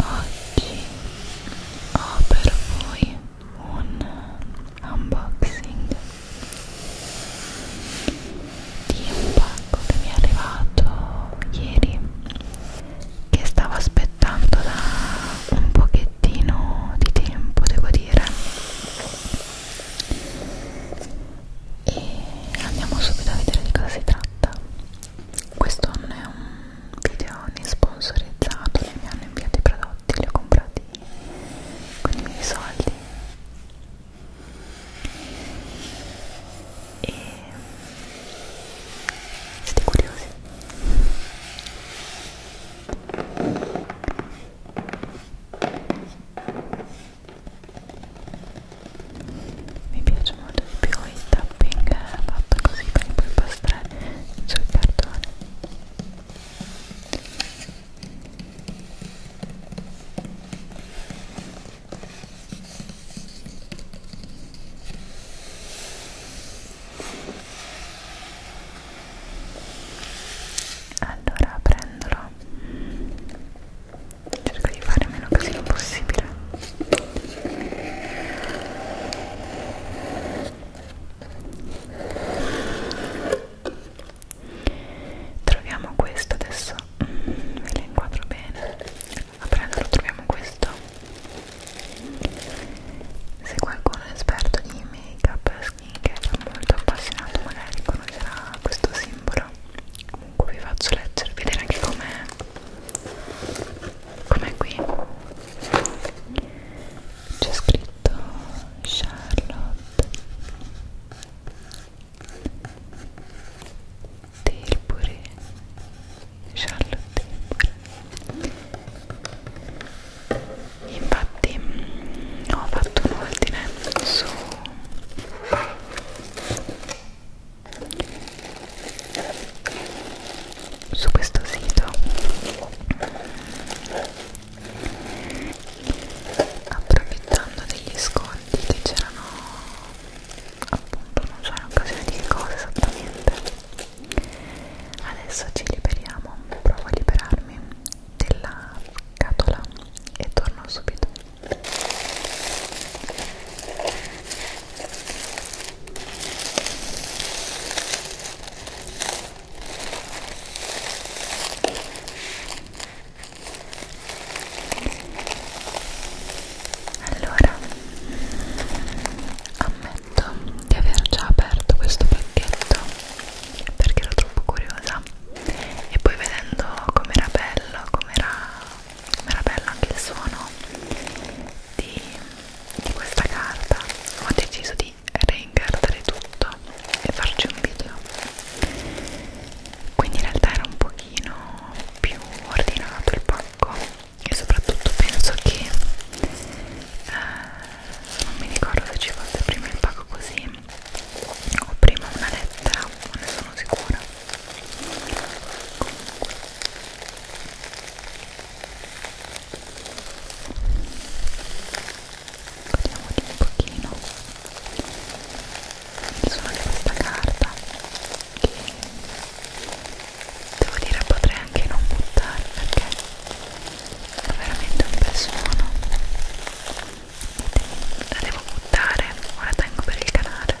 oggi ho per voi un unboxing di un pacco che mi è arrivato ieri che stavo aspettando da un pochettino di tempo devo dire e andiamo subito a vedere di cosa si tratta questo non è un video ne sponsorizzato e mi hanno inviato i prodotti, li ho comprati con i miei soldi e siete curiosi? mi piace molto di più il tapping eh, fatto così per poi impastare sul cartone allora prendolo cerco di fare meno casino possibile troviamo questo adesso mm, ve lo inquadro bene a prenderlo troviamo questo se qualcuno è esperto di make up skincare è molto appassionato magari conoscerà questo simbolo comunque vi faccio leggere vedere anche com'è come qui c'è scritto Charlotte Tilbury Charlotte Tilbury infatti ho fatto un ordine su su questo sito approfittando degli sconti che c'erano appunto non so in occasione di che cosa esattamente adesso ci liberiamo provo a liberarmi della scatola e torno subito allora, ammetto di aver già aperto questo pacchetto perché ero troppo curiosa e poi vedendo com'era bello, com'era ma era bello anche il suono di, di questa carta ho deciso di reincartare tutto e farci un video quindi in realtà era un pochino più ordinato il pacco e soprattutto penso che eh, non mi ricordo se ci fosse prima il pacco così o prima una lettera, non ne sono sicura Godiamoli un pochino il suono di questa carta che devo dire potrei anche non buttare perché è veramente un bel suono la devo buttare o la tengo per il canale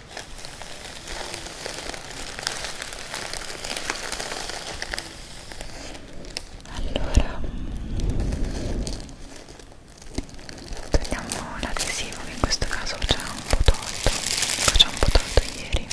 allora mm, togliamo l'adesivo che in questo caso c'è un po' tolto c'è ecco, un po' tolto ieri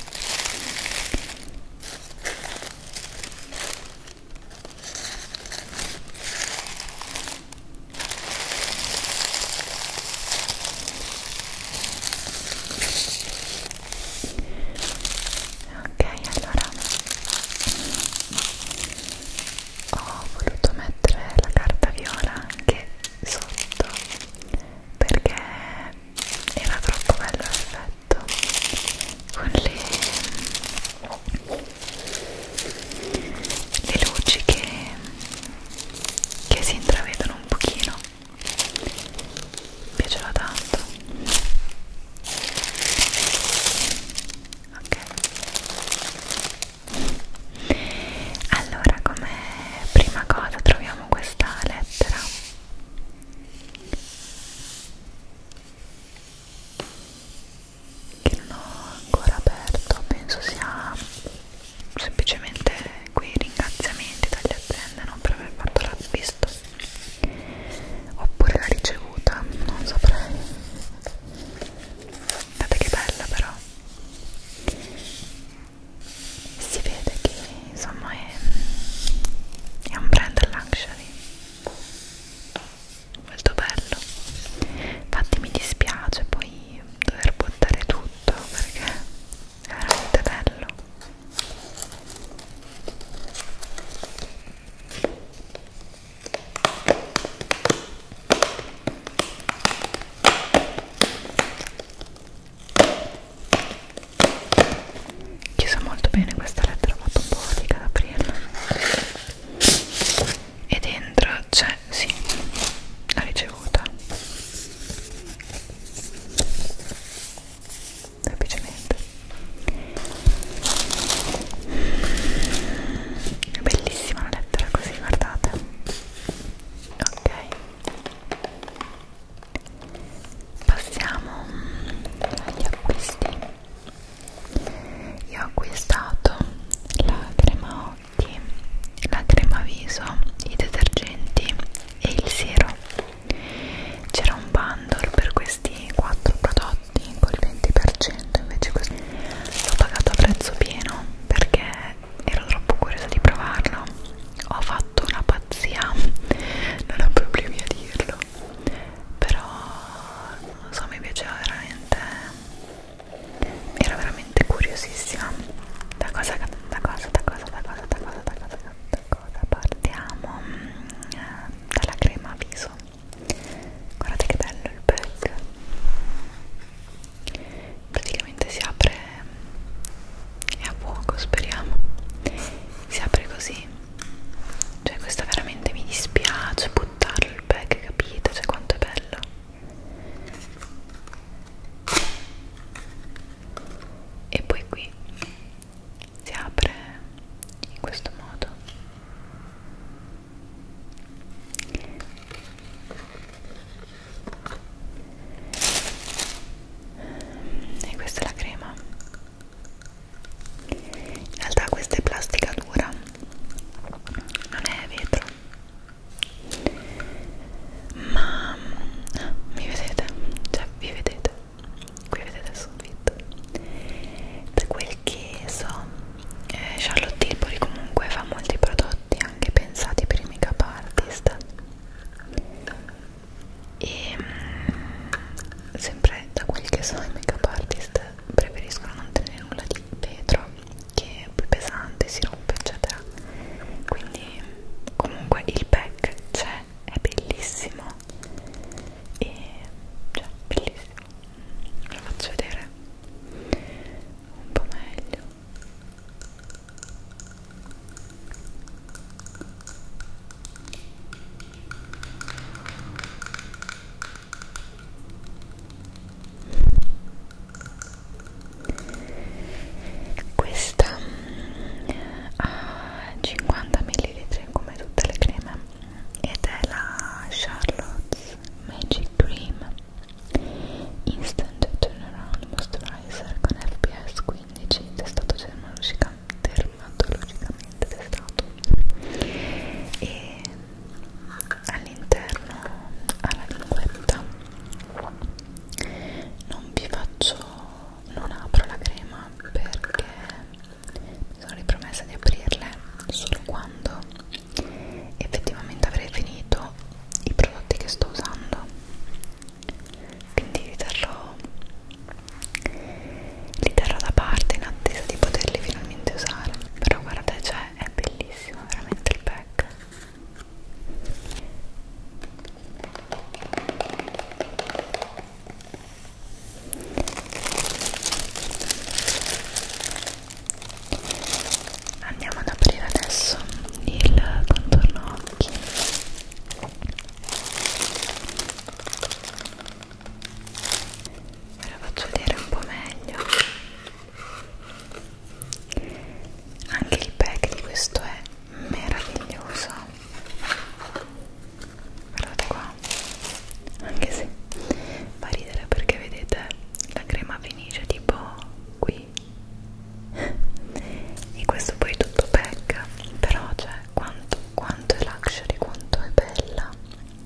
ok allora ho voluto mettere la carta viola anche sotto perché era troppo bello l'effetto con le, le luci che, che si intravedono un pochino mi piacerà tanto ok allora come prima cosa troviamo questa lettera che non ho ancora aperto penso sia semplicemente quei ringraziamenti dalle aziende non per aver fatto l'acquisto oppure la ricevuta non saprei guardate che bella però si vede che insomma è, è un brand luxury molto bello infatti mi dispiace poi dover buttare tutto perché è veramente bello chiusa molto bene questa lettera ho fatto un po' fatica ad aprirla e dentro c'è, sì, la ricevuta semplicemente è bellissima una lettera così guardate ok passiamo agli acquisti io ho acquistato la crema occhi, la crema viso, i detergenti e il siero. C'era un bundle per questi 4 prodotti col 20%, invece questo l'ho pagato a prezzo pieno perché ero troppo curiosa di provarlo. Ho fatto una pazzia, non ho problemi a dirlo, però non so, mi piaceva veramente. Era veramente veramente curiosissima da cosa, da cosa, da cosa, da cosa, da cosa, da cosa, da cosa partiamo mm, dalla crema a viso guardate che bello il pack praticamente si apre è a fuoco speriamo si apre così cioè questo veramente mi dispiace buttarlo il pack capite cioè quanto è bello e poi qui si apre in questo modo e questa è la crema in realtà questa è plastica dura non è vetro ma mi vedete cioè vi vedete qui vedete il soffitto da quel che so eh, Charlotte Tilbury comunque fa molti prodotti anche pensati per i make up artist e mh, mm, sempre da quel che so i make up artist preferiscono non tenere nulla di vetro che è poi pesante, si rompe eccetera quindi comunque il pack c'è, è bellissimo e cioè bellissimo lo faccio vedere un po' meglio questa ha 50 ml come tutte le creme ed è la Charlotte's Magic Cream Instant Turnaround Moisturizer con FPS 15 testato dermatologicamente testato e all'interno ha la linguetta non vi faccio non apro la crema perché mi sono ripromessa di aprirle solo quando effettivamente avrei finito i prodotti che sto usando quindi li terrò li terrò da parte in attesa di poterli finalmente usare però guardate cioè è bellissimo veramente il pack Andiamo ad aprire adesso il contorno occhi. Ve lo faccio vedere un po' meglio anche il pack di questo è meraviglioso guardate qua anche se fa ridere perché vedete la crema finisce tipo qui e questo poi è tutto pack però cioè quanto, quanto è luxury quanto è bella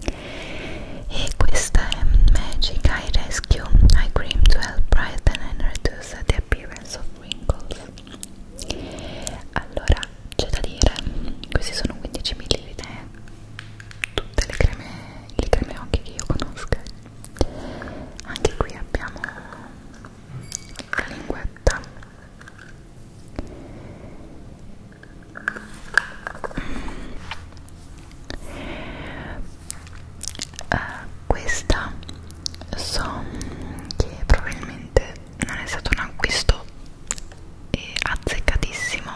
e questa è Magic Eye Rescue Eye Cream to Help Brighten and Reduce reduce the appearance of wrinkles allora c'è da dire questi sono 15 ml tutte le creme le creme occhi che io conosco anche qui abbiamo la linguetta uh, questa so che probabilmente non è stato un acquisto eh, azzeccatissimo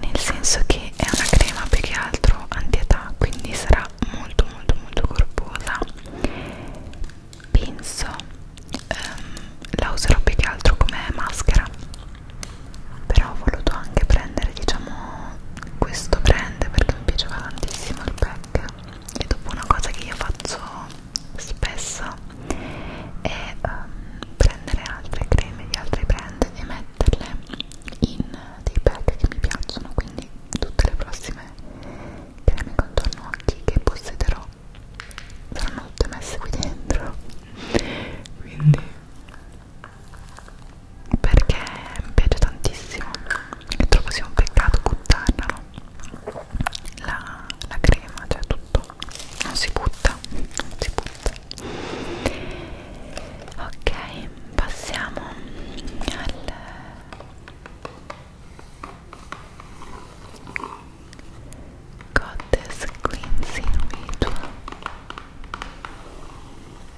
nel senso che è una crema più che altro anti-età quindi sarà molto molto molto corposa penso um, la userò più che altro come maschera però ho voluto anche prendere diciamo questo brand perché mi piaceva tantissimo il pack e dopo una cosa che io faccio spesso è um, prendere altre creme di altre brand e metterle in dei pack che mi piacciono quindi tutte le prossime creme contorno occhi che possederò saranno tutte messe qui dentro quindi perché mi piace tantissimo e trovo sia un peccato buttarla no? la, la crema, cioè tutto non si butta non si butta ok, passiamo al Goddess Cleansing Ritual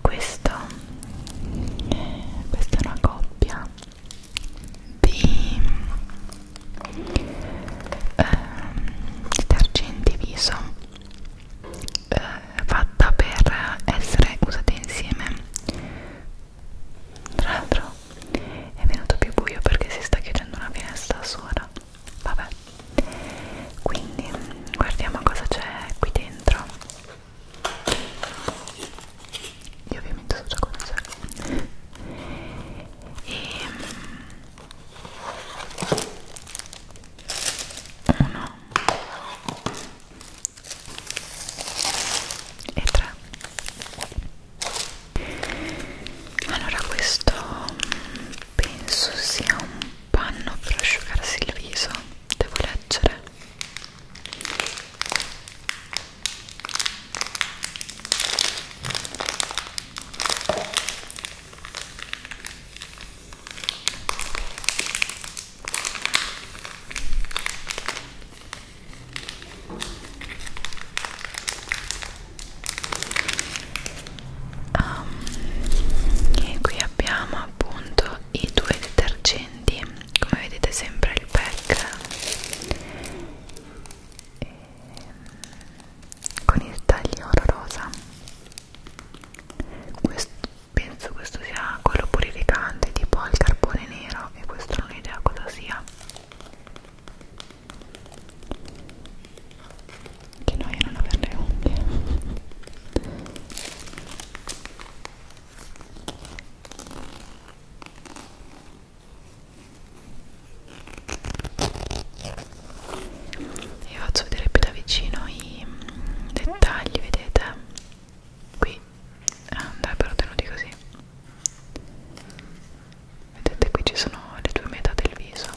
questa, eh, questa è una coppia di eh, detergenti viso eh, fatta per essere usata insieme tra l'altro è venuto più buio perché si sta chiudendo una finestra sola vabbè quindi guardiamo cosa c'è qui dentro io ovviamente so già cosa c'è e ehm, uno e tre allora questo penso sia un panno per asciugarsi il viso devo leggere Um, e qui abbiamo appunto uso i due detergenti come vedete sempre il pack e, ehm, con il taglio rosa questo, penso questo sia quello purificante tipo al carbone nero e questo non ho idea cosa sia che noia non avere le unghie vi faccio vedere più da vicino i mm, dettagli vedete qui andrebbero ah, tenuti così vedete qui ci sono le due metà del viso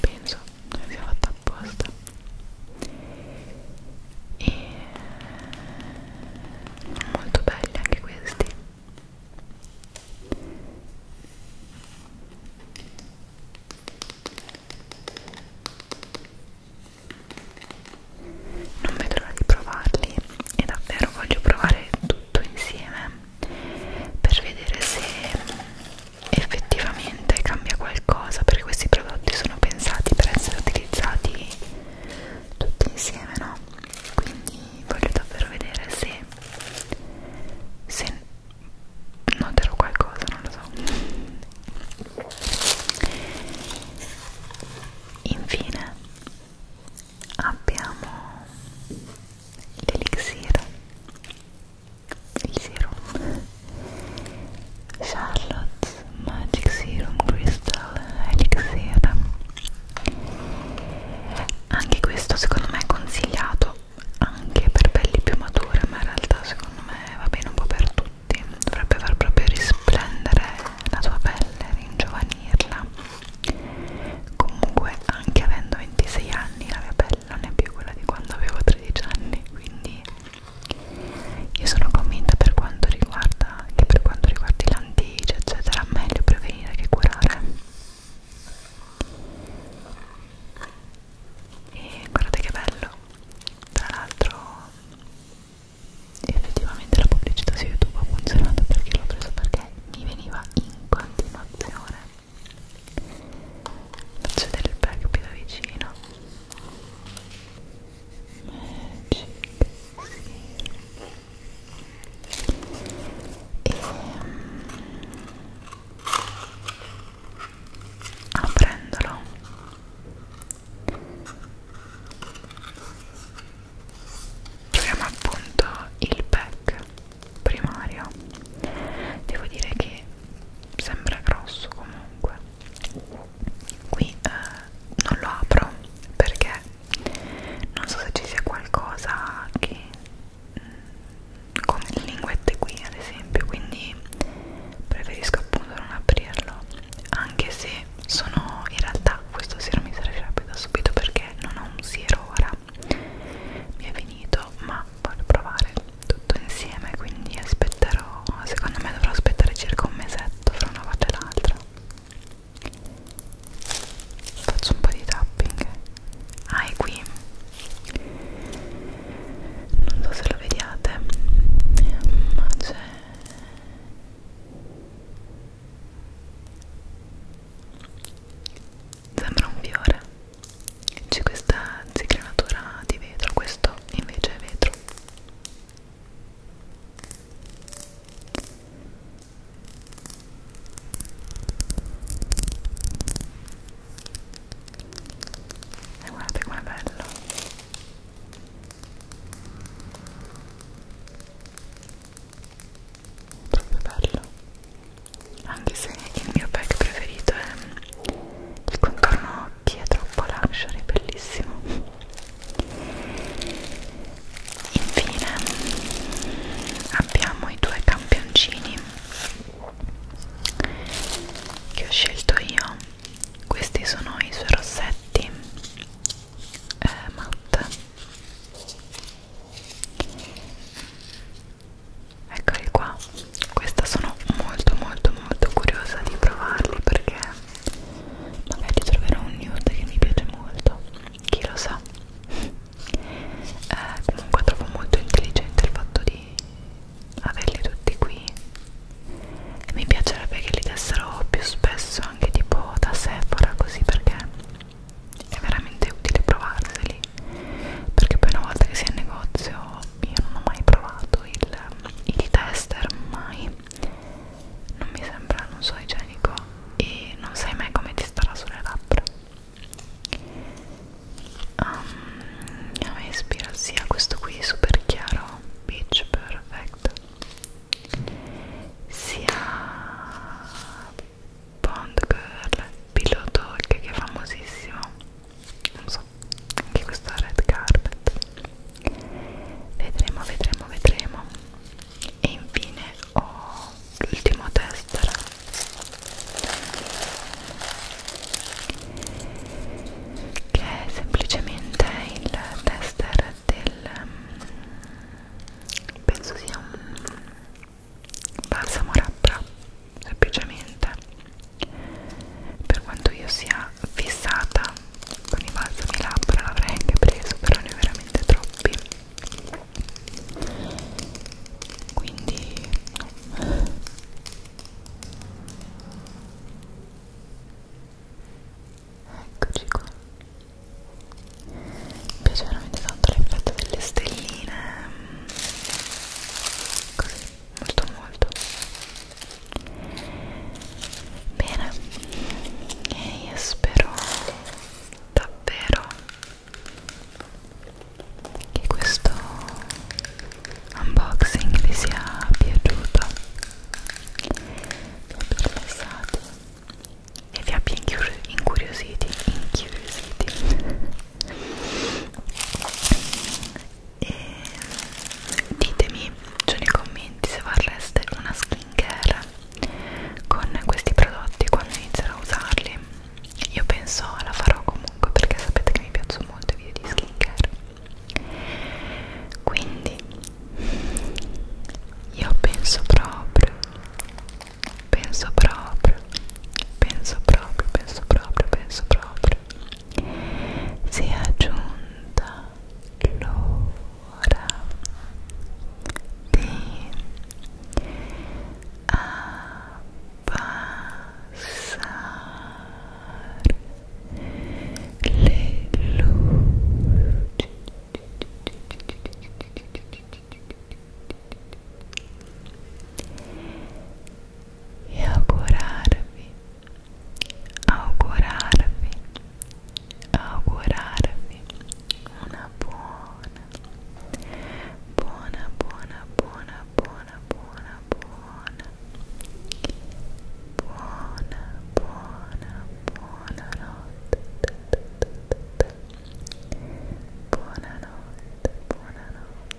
penso non sia fatta apposta e sono molto belli anche questi non vedo l'ora di provarli e davvero voglio provare tutto insieme per vedere se effettivamente cambia qualcosa perché questi prodotti sono pensati per essere utilizzati tutti insieme no quindi voglio davvero vedere se, se noterò qualcosa non lo so infine abbiamo l'elixir il serum Charlotte's Magic Serum Crystal Elixir anche questo secondo me è consigliato anche per pelli più mature ma in realtà secondo me va bene un po' per tutti dovrebbe far proprio risplendere la tua pelle ringiovanirla comunque anche avendo 26 anni la mia pelle non è più quella di quando avevo 13 anni quindi io sono convinta per quanto riguarda che per quanto riguarda i landici eccetera, meglio prevenire che curare. E guardate che bello! Tra l'altro effettivamente la pubblicità su YouTube ha funzionato perché l'ho preso perché mi veniva in continuazione faccio vedere il pack più da vicino Magic e mm, aprendolo ah, troviamo appunto il pack primario devo dire che sembra grosso comunque comunque qui eh, non lo apro perché non so se ci sia qualcosa che mm, come le linguette qui ad esempio quindi preferisco appunto non aprirlo anche se sono in realtà questo siero mi servirebbe da subito perché non ho un siero ora mi è finito ma voglio provare tutto insieme quindi aspetterò secondo me dovrò aspettare circa un mesetto fra una volta e l'altra faccio un po' di tapping ah è qui non so se lo vediate ma c'è sembra un fiore c'è questa zigranatura di vetro questo invece è vetro e guardate com'è bello proprio bello anche se il mio pack preferito è il contorno occhi è troppo luxury, bellissimo infine abbiamo i due campioncini che ho scelto io questi sono i suoi rossetti eh, matte eccoli qua questa sono molto molto molto curiosa di provarli perché magari troverò un nude che mi piace molto chi lo sa eh, comunque trovo molto intelligente il fatto di averli tutti qui e mi piacerebbe che li dessero più spesso anche tipo da Sephora così perché è veramente utile provarseli perché poi una volta che si è in negozio io non ho mai provato il, il tester, mai non mi sembra, non so, igienico e non sai mai come ti starà sulle labbra um, a me ispira sia questo qui super chiaro Beach Perfect sia Bond Girl Pillow Talk che è famosissimo non so anche questa red carpet vedremo vedremo vedremo e infine ho l'ultimo tester che è semplicemente il tester del mm, penso sia un balsamo labbra semplicemente per quanto io sia fissata con i balsami labbra l'avrei anche preso però ne ho veramente troppi quindi no. eccoci qua mi piace veramente tanto l'effetto delle stelline così molto molto bene e io spero davvero che questo unboxing vi sia piaciuto vi abbia rilassato e vi abbia incuriositi incuriositi e ditemi giù nei commenti se vorreste una skincare con questi prodotti quando inizierò a usarli io penso la farò comunque perché sapete che mi piacciono molto i video di skincare quindi io penso proprio penso proprio penso proprio penso proprio penso proprio sia giunta l'ora di abbassare le luci Algorar-me, algorar-me, algorar-me Una buona, buona, buona, buona, buona, buona Buona, buona, buona notte Buona notte, buona notte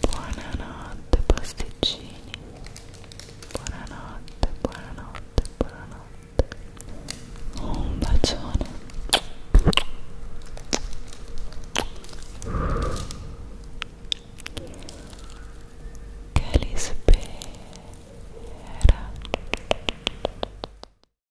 buonanotte pasticcini buonanotte buonanotte buonanotte un bacione che li spera